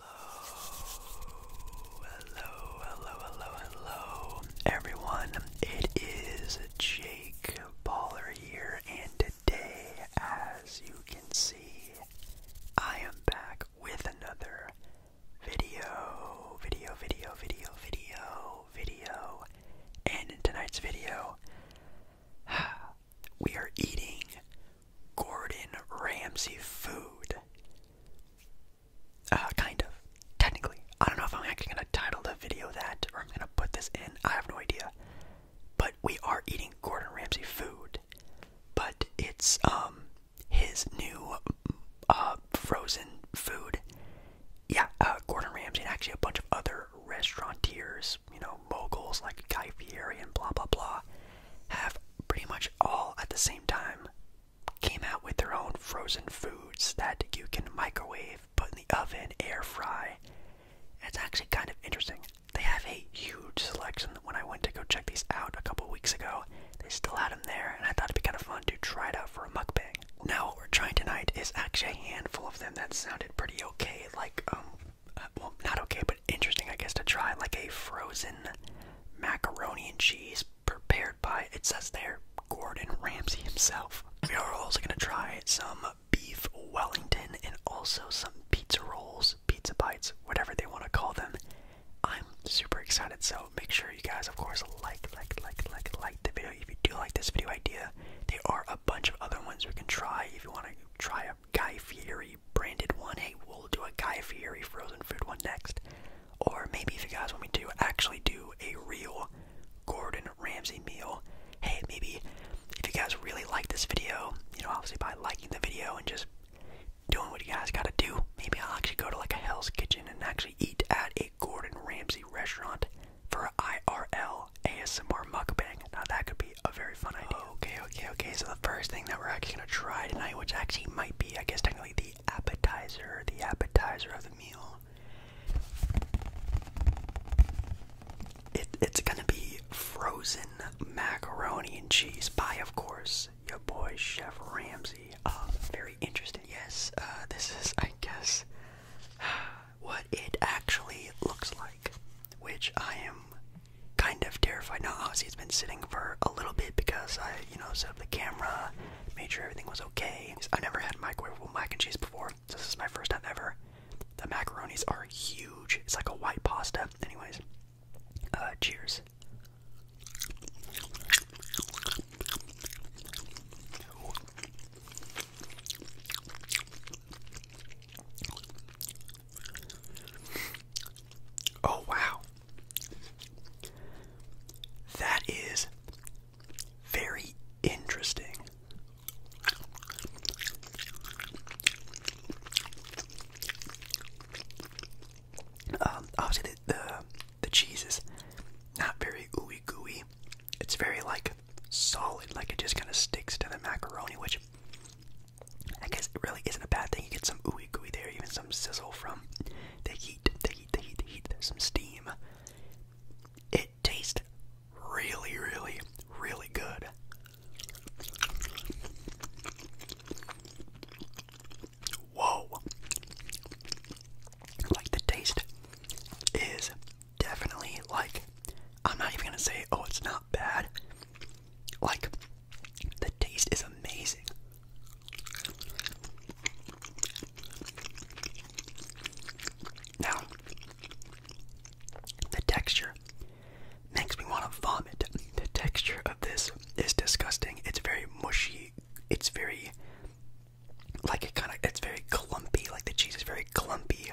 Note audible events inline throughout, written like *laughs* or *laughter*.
Hello, hello, hello, hello, everyone. It is Jake Baller here, and today, as you can see, I am back with another video, video, video, video, video, video. And in tonight's video, *sighs* we are eating Gordon Ramsay food. Uh, kind of. Technically. I don't know if I'm actually going to title the video that or I'm going to put this in. I have no idea. But we are eating Gordon Ramsay food. But it's um his new uh frozen food. Yeah, uh, Gordon Ramsay and actually a bunch of other restaurateurs, you know, moguls like Guy Fieri and blah blah blah have pretty much all at the same time came out with their own frozen foods that you can microwave, put in the oven, air fry. It's actually kind of interesting. They have a huge selection. When I went to go check these out a couple weeks ago, they still had them there, and I thought it'd be kind of fun to try it out for a mukbang. Now, what we're trying tonight is actually a handful of them that sounded pretty okay, like, um, uh, well, not okay, but interesting, I guess, to try like a frozen macaroni and cheese prepared by, it says there, Gordon Ramsay himself. We are also going to try some beef Wellington and also some pizza rolls, pizza bites, whatever they want to call them. I'm super excited, so make sure you guys, of course, like, like, like, like, like the video if you do like this video idea. There are a bunch of other ones we can try if you want to try Guy Fieri branded one. Hey, we'll do a Guy Fieri frozen food one next. Or maybe if you guys want me to actually do a real Gordon Ramsay meal, hey, maybe if you guys really like this video, you know, obviously by liking the video and just doing what you guys gotta do, maybe I'll actually go to like a Hell's Kitchen and actually eat at a Gordon Ramsay restaurant for IRL ASMR mukbang. Now that could be a very fun idea. Okay, okay, okay. So the first thing that we're actually gonna try tonight, which actually might be, I guess, technically the appetizer, the appetizer of the meal. it's gonna be frozen macaroni and cheese pie, of course. Your boy Chef Ramsay. Uh, very interesting. Yes, uh, this is, I guess, *sighs* what it actually looks like, which I am kind of terrified. Now, obviously, it's been sitting for a little bit because I, you know, set up the camera, made sure everything was okay. I've never had microwavable mac and cheese before. So this is my first time ever. The macaronis are huge. It's like a white pasta. Anyways, uh, cheers. Oh, wow. That is very interesting. Um, obviously, the, the cheese is not very ooey gooey. It's very, like, solid. Like, it just kind of sticks to the macaroni, which I guess it really isn't a bad thing. You get some ooey gooey there, even some sizzle from the heat, the heat, the heat, the heat. There's some steam. It tastes really, really, really good. Whoa! Like the taste is definitely like I'm not even gonna say oh it's not bad. Like the taste is amazing. Now, the texture makes me want to vomit. The texture of this is disgusting. It's very mushy. It's very like it kind of it's very clumpy. Like the cheese is very clumpy.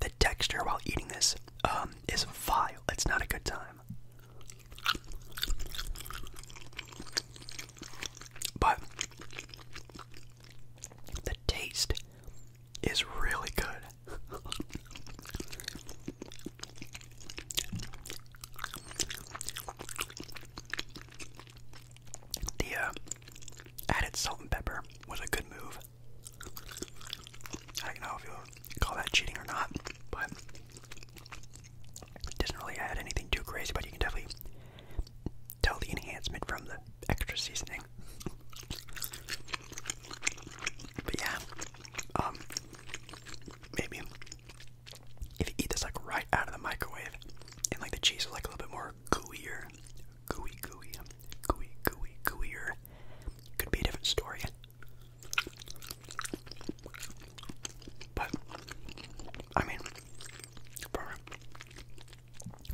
The texture while eating this um, is vile. It's not a good time. But the taste is really good. *laughs* the uh, added salt and pepper was a good move. I don't know call that cheating or not, but it doesn't really add anything too crazy, but you can definitely tell the enhancement from the extra seasoning. But yeah, um, maybe if you eat this like right out of the microwave, and like the cheese is like a little bit more gooier, gooey, gooey, gooey, gooey, gooier, could be a different story. But I mean,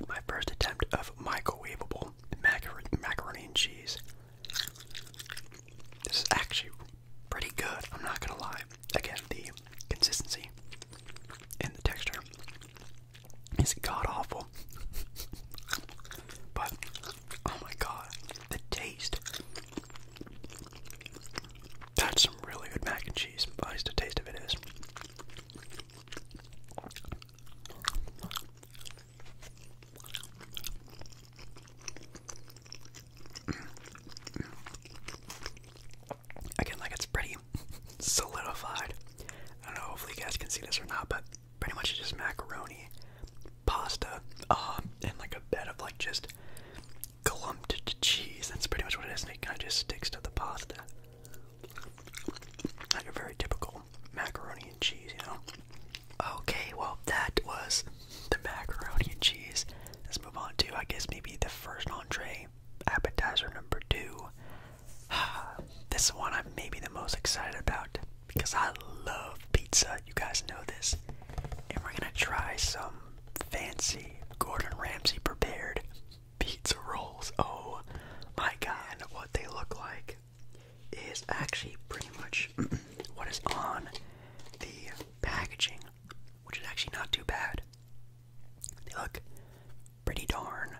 my first attempt of microwavable macaroni, and cheese. This is actually pretty good. I'm not gonna lie. Again, the consistency and the texture is god awful, *laughs* but Oh my god, the taste. That's some really good mac and cheese. I least the taste of it is. Again, like it's pretty *laughs* solidified. I don't know, hopefully you guys can see this or not, but pretty much just macaroni, pasta, uh, and like a bed of like just clumped cheese. That's pretty much what it is, and it kind of just sticks to the pasta. Like a very typical macaroni and cheese, you know? Okay, well, that was the macaroni and cheese. Let's move on to, I guess, maybe the first entree, appetizer number two. *sighs* this one I'm maybe the most excited about because I love pizza. You guys know this. And we're gonna try some fancy Gordon Ramsay prepared pizza rolls. Oh my god, what they look like is actually pretty much *clears throat* what is on the packaging, which is actually not too bad. They look pretty darn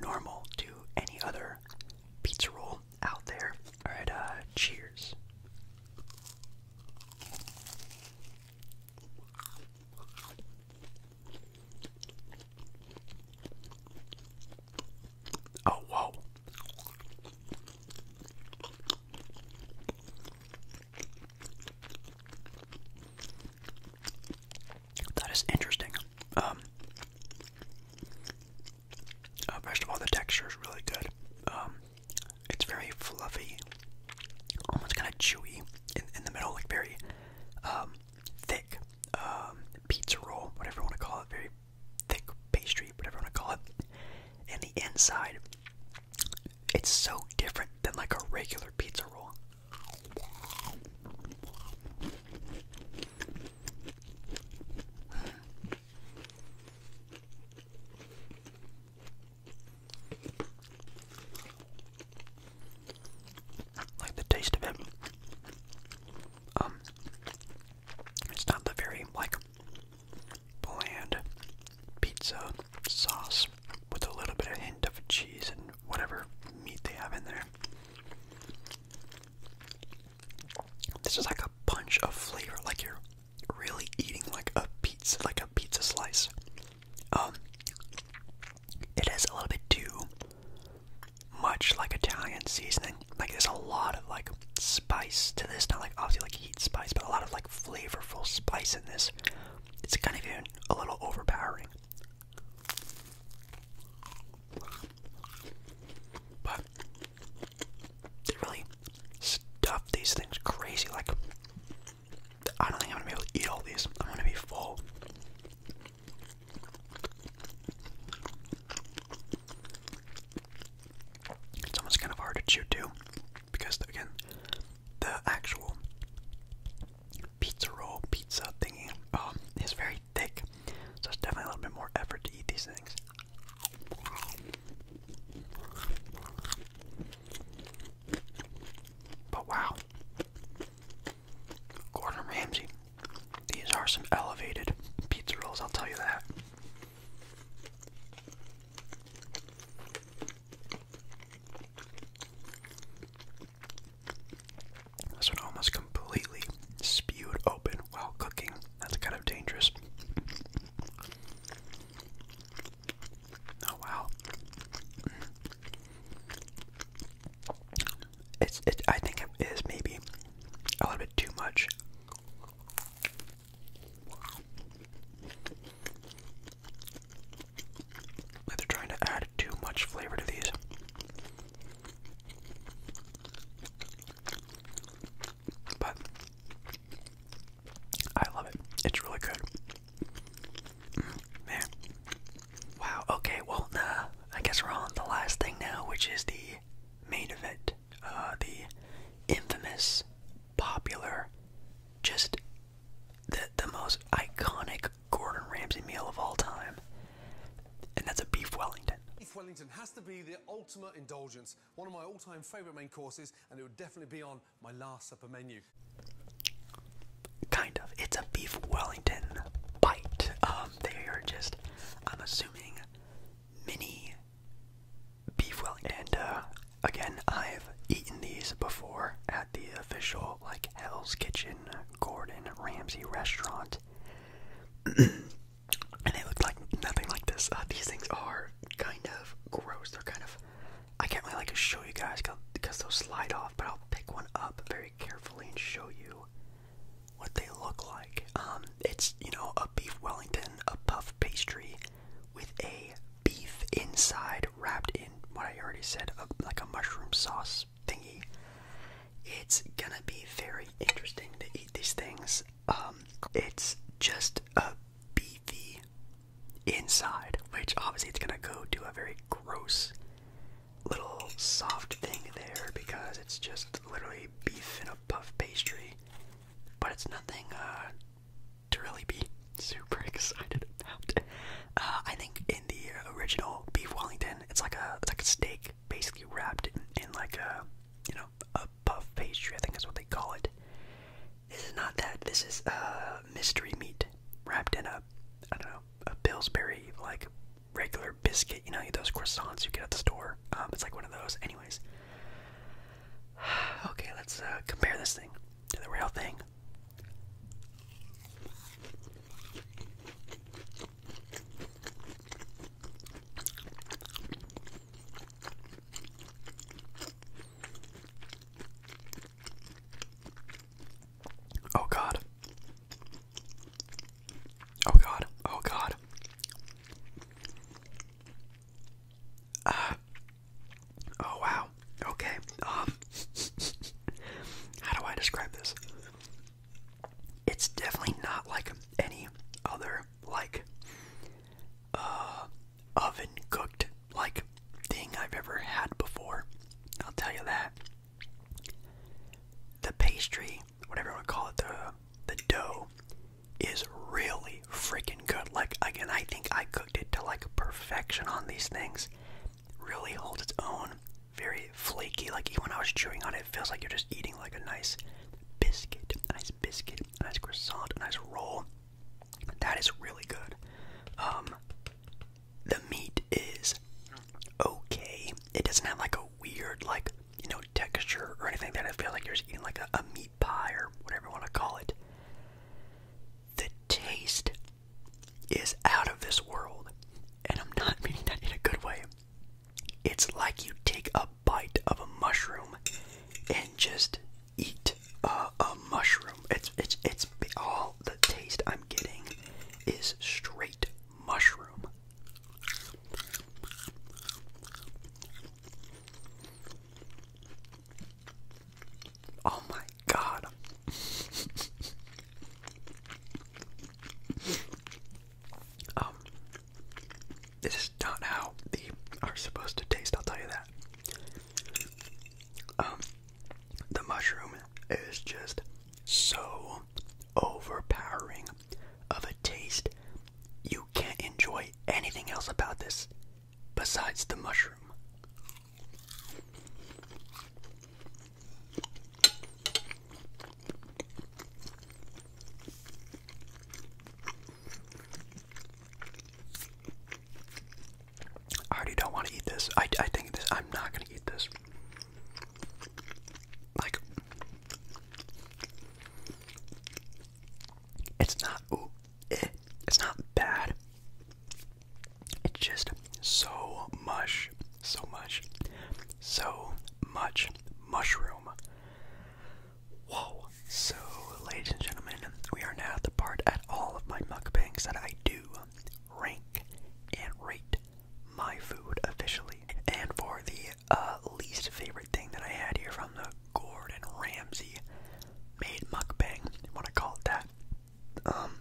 normal to any other pizza roll out there. All right, uh, cheers. Oh, whoa. That is interesting. Um, uh, first of all, the texture is really good. Um, it's very fluffy, almost kind of chewy in, in the middle, like very um, thick um, pizza roll, whatever you want to call it, very thick pastry, whatever you want to call it. And the inside, it's so different than like a regular pizza roll. Like the taste of it. Um it's not the very like bland pizza sauce with a little bit of hint of cheese and whatever meat they have in there. This is like a punch of flavor, like you're really eating like a pizza, like a pizza slice. Um, it has a little bit too much like Italian seasoning. Like there's a lot of like spice to this, not like obviously like heat spice, but a lot of like flavorful spice in this. It's kind of even a little overpowering. But they really stuff these things crazy. Like, I don't think I'm gonna be able to eat all these. I'm gonna be full. It's almost kind of hard to chew too, because again, the actual pizza roll, pizza thingy, um, is very thick, so it's definitely a little bit more effort to eat these things. But wow. Gordon Ramsay. These are some elevated pizza rolls, I'll tell you that. This one almost completely spewed open while cooking. That's kind of dangerous. Oh wow. It's it I think it is maybe a little bit too much. they're trying to add too much flavor to these. But I love it. It's really good. man. Wow. Okay. Well, uh, I guess we're on the last thing now, which is the main event. Uh, the infamous, popular, just the the most iconic Gordon Ramsay meal of all time, and that's a beef Wellington. Beef Wellington has to be the ultimate indulgence, one of my all-time favourite main courses, and it would definitely be on my last supper menu. Kind of. It's a beef Wellington bite. Um, they are just, I'm assuming, mini beef Wellington. Uh, again, I've eaten these before at the official like Hell's Kitchen Gordon Ramsay restaurant. *clears throat* and they look like nothing like this. Uh, these things are kind of gross. They're kind of I can't really like show you guys because they'll slide off, but I'll pick one up very carefully and show you what they look like. Um, it's you know a beef Wellington, a puff pastry with a beef inside wrapped in what I already said, like a mushroom sauce thingy. It's gonna be very interesting to eat these things. Um, it's just a beefy inside, which obviously it's gonna go to a very gross little soft thing there because it's just literally beef in a puff pastry. But it's nothing uh, to really be super *laughs* excited about. Uh, I think in the original beef Wellington, it's like a it's like a steak basically wrapped in like a you know, a puff pastry, I think that's what they call it. This is not that. This is a uh, mystery meat wrapped in a I don't know, a Pillsbury like regular biscuit, you know, those croissants you get at the store. Um, it's like one of those. Anyways. *sighs* Okay, let's uh, compare this thing to the real thing. Oh God. Oh God. Oh God. Uh, oh wow. Okay. Um *laughs* how do I describe this? it's definitely not like any other like uh, oven cooked like thing I've ever had before. I'll tell you that. The pastry, whatever you want to call it, the the dough is really freaking good. Like again, I think I cooked it to like perfection on these things. Really holds its own. Very flaky. Like even when I was chewing on it, it feels like you're just eating like a nice biscuit, a nice biscuit, a nice croissant, a nice roll. That is really good. Um, the meat is okay. It doesn't have like a weird like you know texture or anything that I feel like you're eating like a meat pie or whatever you want to call it. The taste is out of this world, and I'm not meaning that in a good way. It's like you take a bite of a mushroom and just eat a mushroom. It's it's it's all the taste I'm getting is straight mushroom. Oh my god. *laughs* Um, this is not how they are supposed to taste. I'll tell you that. Um, the mushroom is just so overpowering of a taste. You can't enjoy anything else about this besides the mushroom. I already don't want to eat this. I, I think this, I'm not going to eat this. Like, it's not, ooh, eh, it's not bad. It's just so much so much, so much mushroom. Whoa! So, ladies and gentlemen, we are now at the part at all of my mukbangs that I do rank and rate my food officially. And for the uh, least favorite thing that I had here from the Gordon Ramsay made mukbang, want to call it that, um,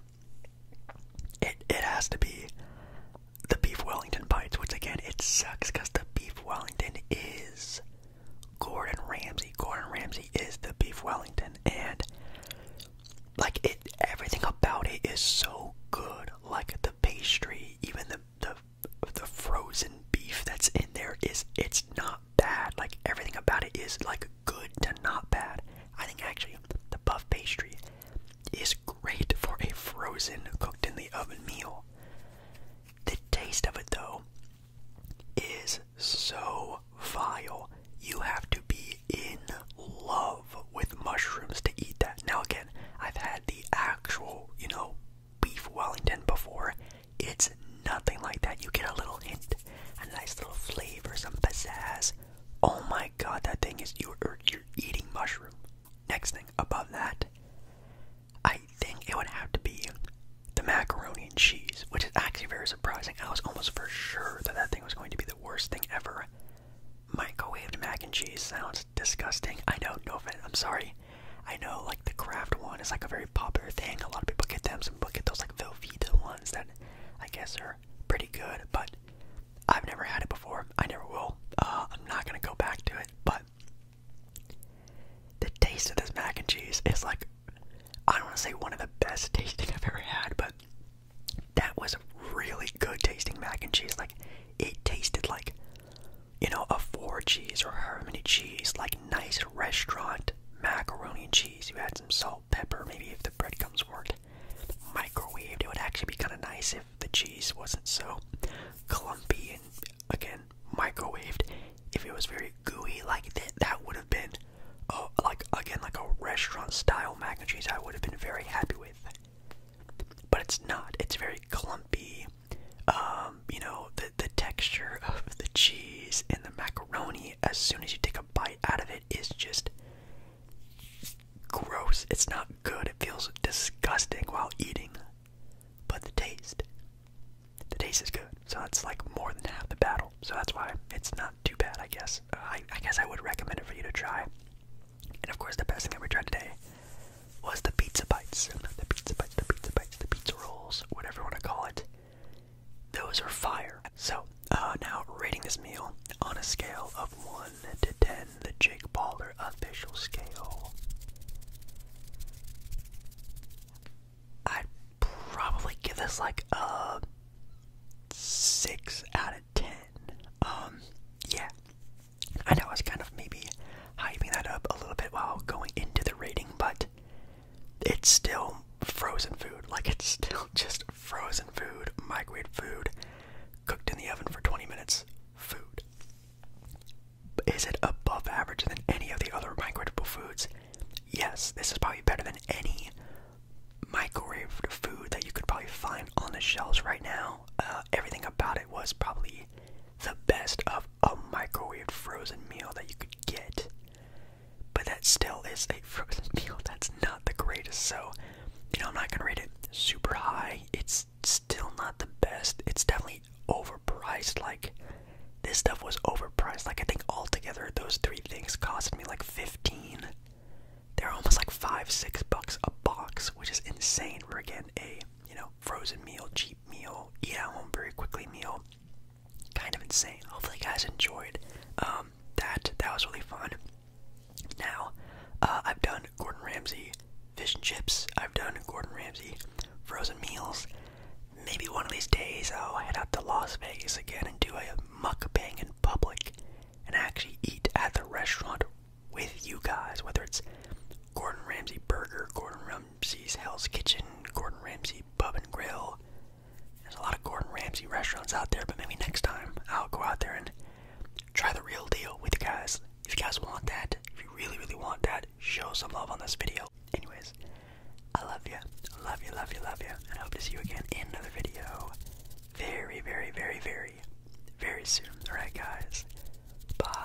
it it has to be the beef Wellington bites, which again it sucks because the beef Wellington is Gordon Ramsay. Gordon Ramsay is the beef Wellington, and like it, everything about it is so good. Like the pastry, even the the the frozen beef that's in there is it's not bad. Like everything about it is like good to not bad. I think actually the puff pastry is great for a frozen, cooked in the oven meal. The taste of it, though, is so vile. You have to be in love with mushrooms to eat that. Now, again, I've had the actual, you know, beef Wellington before. It's nothing like that. You get a little hint, a nice little flavor, some pizzazz. Oh my god, that thing is you're, you're eating mushroom. Next thing above that, I think it would have to be the macaroni and cheese, which is actually very surprising. I was almost for sure that that thing was going to be the worst thing ever. Microwaved mac and cheese sounds disgusting. I know, no offense, I'm sorry. I know, like, the craft one is like a very popular thing. A lot of people get them, some people get those, like, Velveeta ones that I guess are pretty good, but I've never had it before. I never will. Uh, I'm not gonna go back to it, but the taste of this mac and cheese is like I don't want to say one of the best *laughs* tasting I've ever had, but that was really good tasting mac and cheese. Like it tasted like you know a four cheese or however cheese, like nice restaurant macaroni and cheese. You add some salt, pepper, maybe if the breadcrumbs comes worked, microwaved. It would actually be kind of nice if the cheese wasn't so clumpy and again microwaved. If it was very gooey like that, that would have been oh, like again like a restaurant style mac and cheese. I would have been very happy with. But it's not. It's very clumpy. Um, you know the the texture *laughs* of the cheese and the macaroni as soon as you take a bite out of it is just gross. It's not good. It feels disgusting while eating. But the taste, the taste is good. So that's like more than half the battle. So that's why it's not too bad, I guess. Uh, I, guess I would recommend it for you to try. And of course, the best thing I ever tried today was the pizza bites. The pizza bites, the pizza bites, the pizza rolls, whatever you want to call it. Those are fire. So, uh, now rating this meal on a scale of 1 to 10, the Jake Baller official scale, I'd probably give this like a 6 out of 10. Um, yeah. I know I was kind of maybe hyping that up a little bit while going into the rating, but it's still frozen food. Like, it's still *laughs* just frozen food, microwave food, cooked in the oven for 20 minutes food. Is it above average than any of the other microwavable foods? Yes, this is probably better than any microwave food that you could probably find on the shelves right now. Uh, everything about it was probably the best of a microwaved frozen meal that you could get. But that still is a frozen *laughs* meal that's not the greatest. So, you know, I'm not gonna rate it super high. It's still not the best. It's definitely overpriced. Like, this stuff was overpriced. Like, I think altogether those three things cost me like 15. They're almost like five, six bucks a box, which is insane. We're getting a, you know, frozen meal, cheap meal, eat at home very quickly meal. Kind of insane. Hopefully, you guys enjoyed um, that. That was really fun. Now, uh, I've done Gordon Ramsay fish and chips. I've done Gordon Ramsay frozen meals. Maybe one of these days I'll head out to Las Vegas again and do a mukbang in public and actually eat at the restaurant with you guys, whether it's Gordon Ramsay Burger, Gordon Ramsay's Hell's Kitchen, Gordon Ramsay Pub and Grill. There's a lot of Gordon Ramsay restaurants out there, but maybe next time I'll go out there and try the real deal with you guys. If you guys want that, if you really, really want that, show some love on this video. Anyways, I love you. Love you, love you, love you. And I hope to see you again in another video very, very, very, very, very soon. Alright, guys. Bye.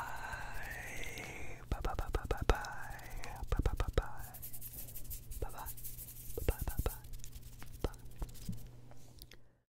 Bye, bye, bye, bye, bye, bye. Bye, bye, bye, bye. Bye, bye. Bye, bye, bye, bye. Bye.